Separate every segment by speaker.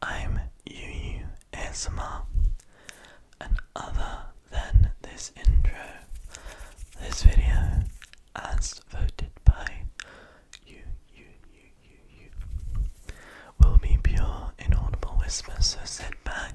Speaker 1: I'm UU ASMR, and other than this intro, this video,
Speaker 2: as voted by you, you, you, you, you, will be pure inaudible whispers, so sit back,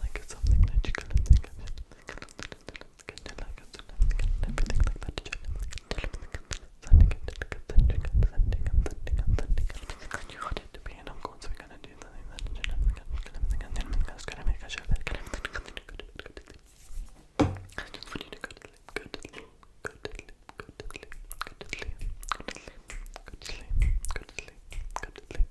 Speaker 2: like something that you can think of and like everything like that sending it sending it sending and sending and sending and you want it to be and I'm going so we're gonna do the thing that you and then I'm just gonna make a show that I just want you to go to sleep, go to sleep, go to sleep, go to sleep, go to sleep, go to sleep, go to sleep, go to sleep, go to sleep,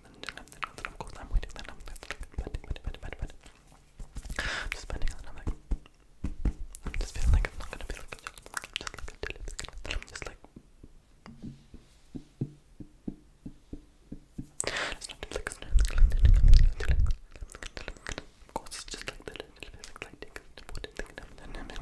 Speaker 2: and of course I'm waiting, then I'm waiting, I'm just spending and I'm like, I'm just feeling like I'm not gonna be like, just like until it's good, I'm just like, it's not like, it's not like, of course it's just like that, it's like, like, take a important thing, and then I'm like,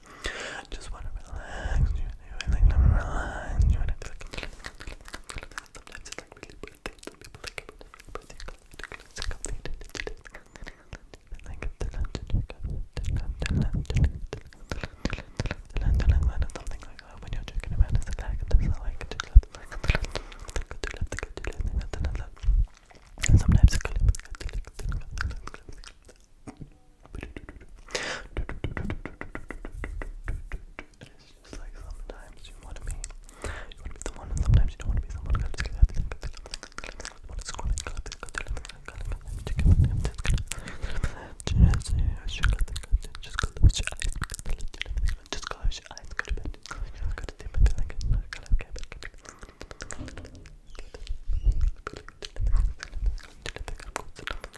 Speaker 2: Just want to relax you. I like to relax you. And I sometimes it's like really birthday. Some people like it. Birthday. It's complete. And like it's the lunch. The lunch. The lunch. The lunch. The lunch. The lunch. The something like that. When you're joking it's like this. I like it. Sometimes it's good. Sometimes it's good. And it's just like sometimes you want to be, you want to be someone, and sometimes you don't want to be someone. Just close your eyes. Just close your eyes. Go to bed. Go to bed. Go to bed.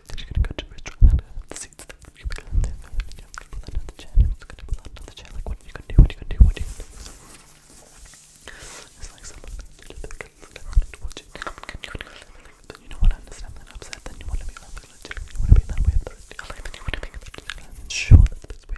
Speaker 2: Then you gonna go to you gonna live and you gonna pull it's Like what are you to do? What are you to do? What you gonna do? It's like someone little bit Then you wanna understand that upset, then you you wanna be that way the rest of you wanna make it and sure that this way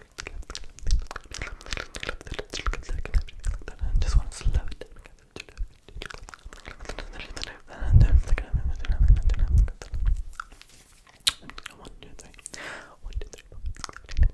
Speaker 2: I just want to slow it down. One, two, three. One, two, three. One, two, three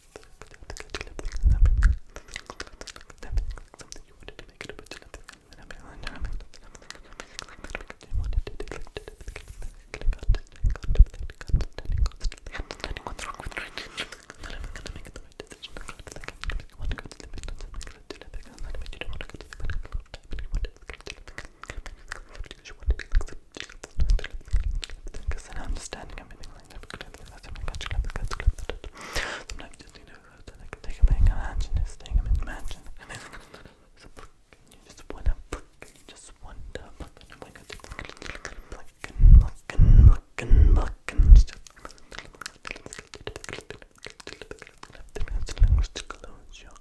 Speaker 2: something you wanted to make it but you because I understanding everything Sometimes just, you know, I can take him in a mansion, just take him in a mansion. Can you just wonder, can you just wonder, fucking, oh my god, fucking, fucking, fucking, fucking, just close your eyes. Just close your eyes.